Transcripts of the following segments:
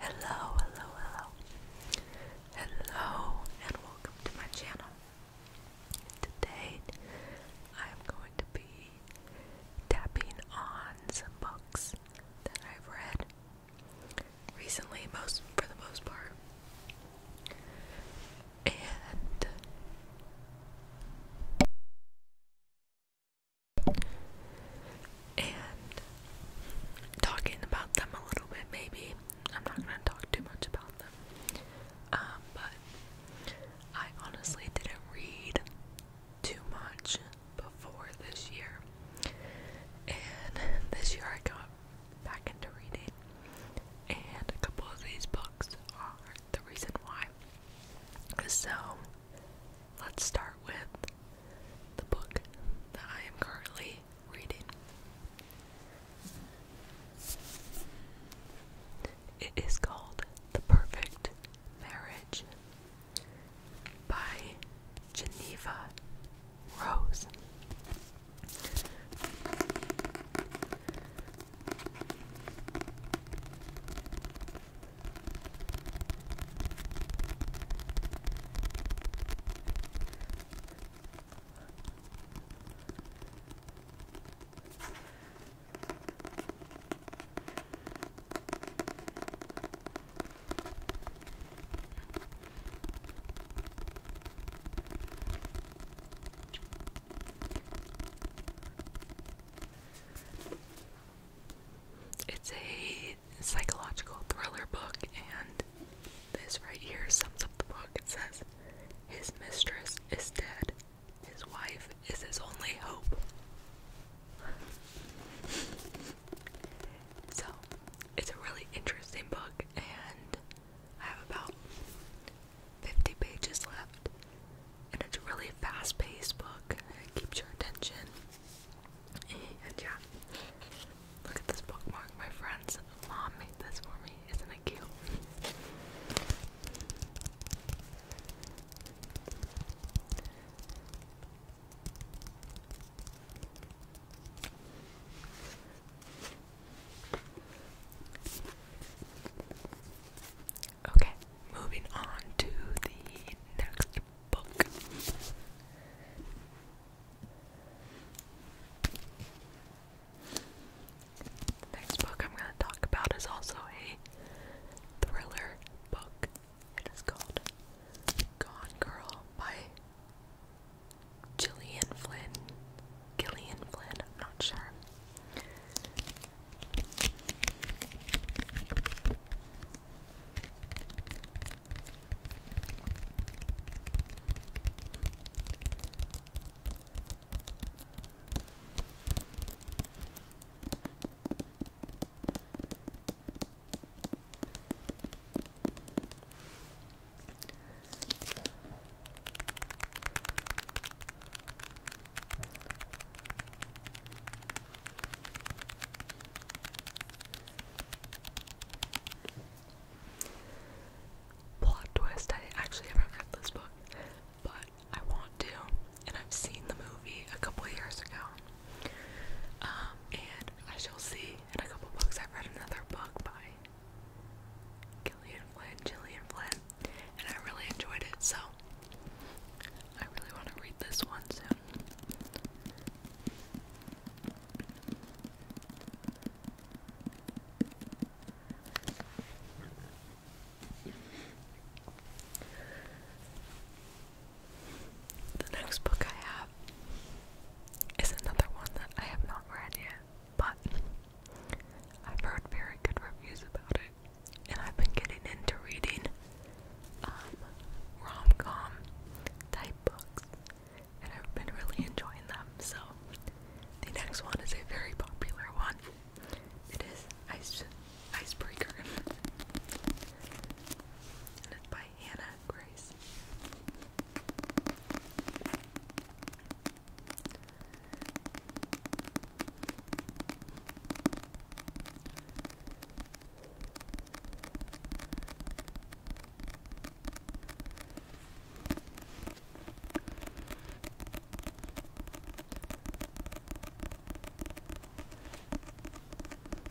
Hello, hello, hello. Hello, and welcome to my channel. Today, I'm going to be tapping on some books that I've read recently, most for the most part and and talking about them a little bit maybe. I'm not gonna talk too much about them. Um, but I honestly didn't read too much before this year. And this year I got back into reading, and a couple of these books are the reason why. So, let's start with the book that I am currently reading. It is called The Perfect Marriage by Geneva Rose. It's a psychological thriller book, and this right here sums up the book. It says, His mistress is dead, his wife is his only hope. so, it's a really interesting book, and I have about 50 pages left, and it's a really fast paced book, it keeps your attention. And yeah, look at this bookmark, my friends. Mom made this for me, isn't it cute? Okay, moving on to the next book. next book I'm going to talk about is also a thriller book. It is called Gone Girl by Gillian Flynn. Gillian Flynn, I'm not sure. Plot twist, I actually have read this book, but I want to, and I've seen the movie a couple years ago. Um, and I shall see lately a couple books. I've read another book by Gillian Flynn, Gillian Flynn, and I really enjoyed it, so I really want to read this one soon. The next book I have is another one that I have not read yet, but I've heard very good reviews about it, and I've been getting into reading um, rom com type books, and I've been really enjoying them. So, the next one is a very popular one. It is Ice Icebreaker, and by Hannah Grace.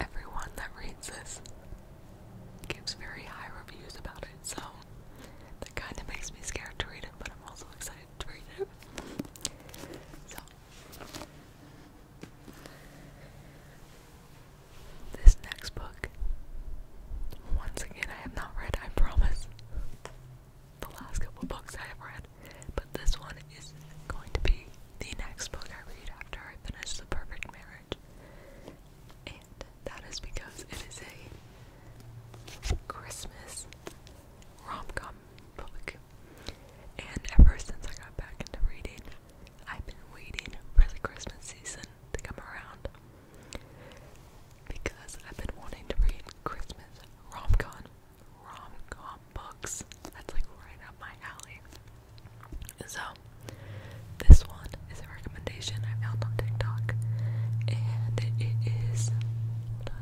Everyone that reads this gives very high reviews about it, so that kind of makes me scared to read it, but I'm also excited to read it. So, this next book, once again, I have not read, I promise the last couple books I have read, but this one is going to be the next book I read after I finish The Perfect Marriage. And that is because it is a Christmas rom com book. And ever since I got back into reading, I've been waiting for the Christmas season to come around because I've been wanting to read Christmas rom com rom-com books. That's like right up my alley. So this one is a recommendation I found on TikTok, and it is. Hold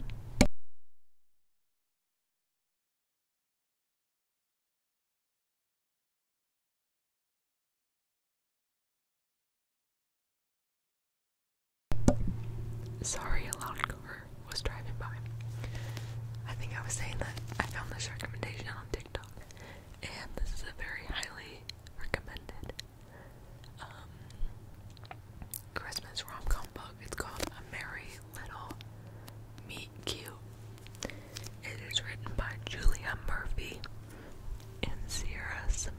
Sorry, a loud car was driving by. I think I was saying that I found this recommendation on TikTok, and this is a very highly recommended um, Christmas rom com book. It's called A Merry Little Meet Cute. It is written by Julia Murphy and Sierra Simone.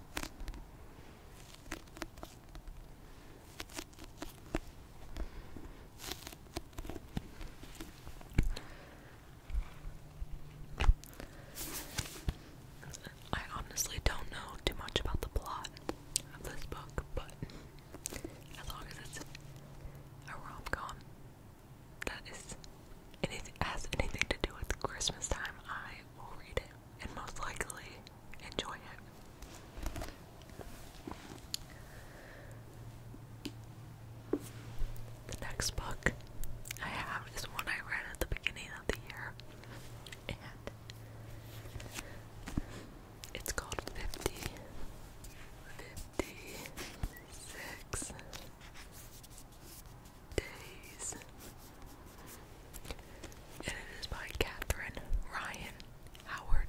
I honestly don't know too much about the plot of this book, but as long as it's a rom com, that is anything has anything to do with Christmas time, I will read it and most likely enjoy it. The next book I have is one I read at the beginning of the year, and it's called 50, 56, Days. And it is by Catherine Ryan Howard.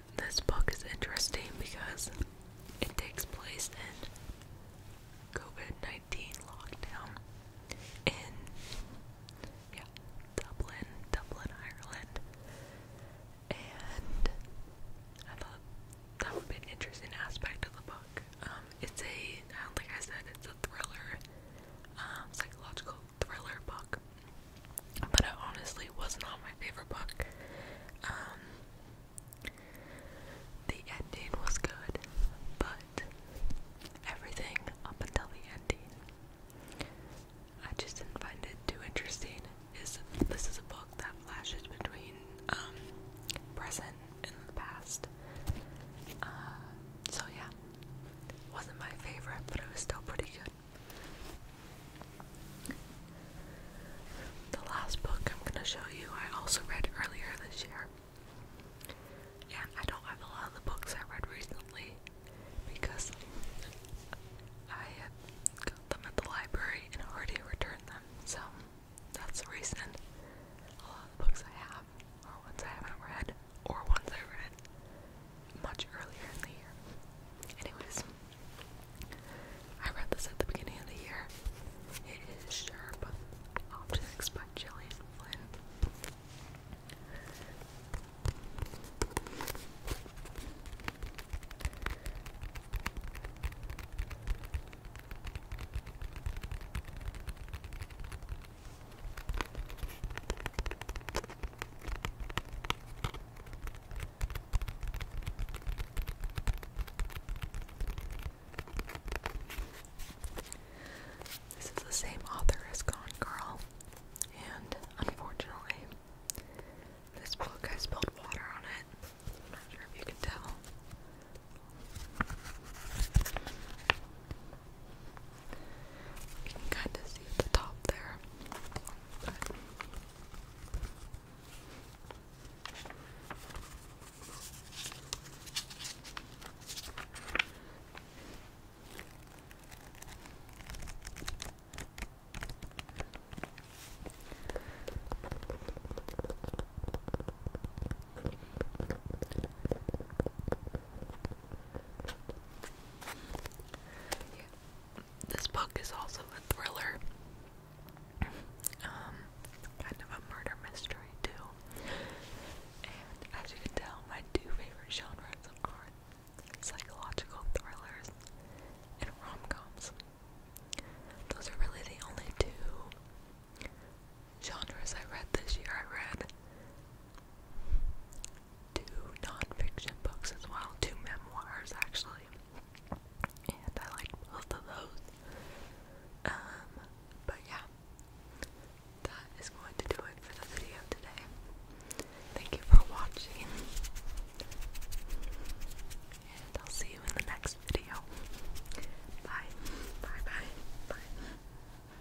This book is interesting because it takes place in COVID 19 lockdown in yeah, Dublin, Dublin, Ireland. And I thought that would be an interesting aspect of the book. Um, it's a, like I said, it's a thriller, um, psychological thriller book, but it honestly was not my favorite book. Um, the ending was good, but everything up until the ending, I just didn't find it too interesting. Is this is a book that flashes between um, present and past? Uh, so yeah, wasn't my favorite, but it was still pretty good. The last book I'm going to show you, I also read earlier this year. Yeah, I don't have a lot of the books I read recently because I got them at the library and already returned them. So that's the reason a lot of the books I have are ones I haven't read or ones I read much earlier in the year. Anyways, I read this at the beginning of the year. It is Sharp objects by Gillian Flynn. This is the same author as Gone Girl, and unfortunately, this book I spilled water on it. not sure if you can tell. You can kind of see the top there. This book is also a thriller. Um, kind of a murder mystery too. And as you can tell, my two favorite genres are psychological thrillers and rom-coms. Those are really the only two genres I read this year. I read two nonfiction books as well, two memoirs actually, and I like both of those. Um, but yeah, that is going to do it for the video today. Thank you for watching, and I'll see you in the next video. Bye, bye, bye, bye.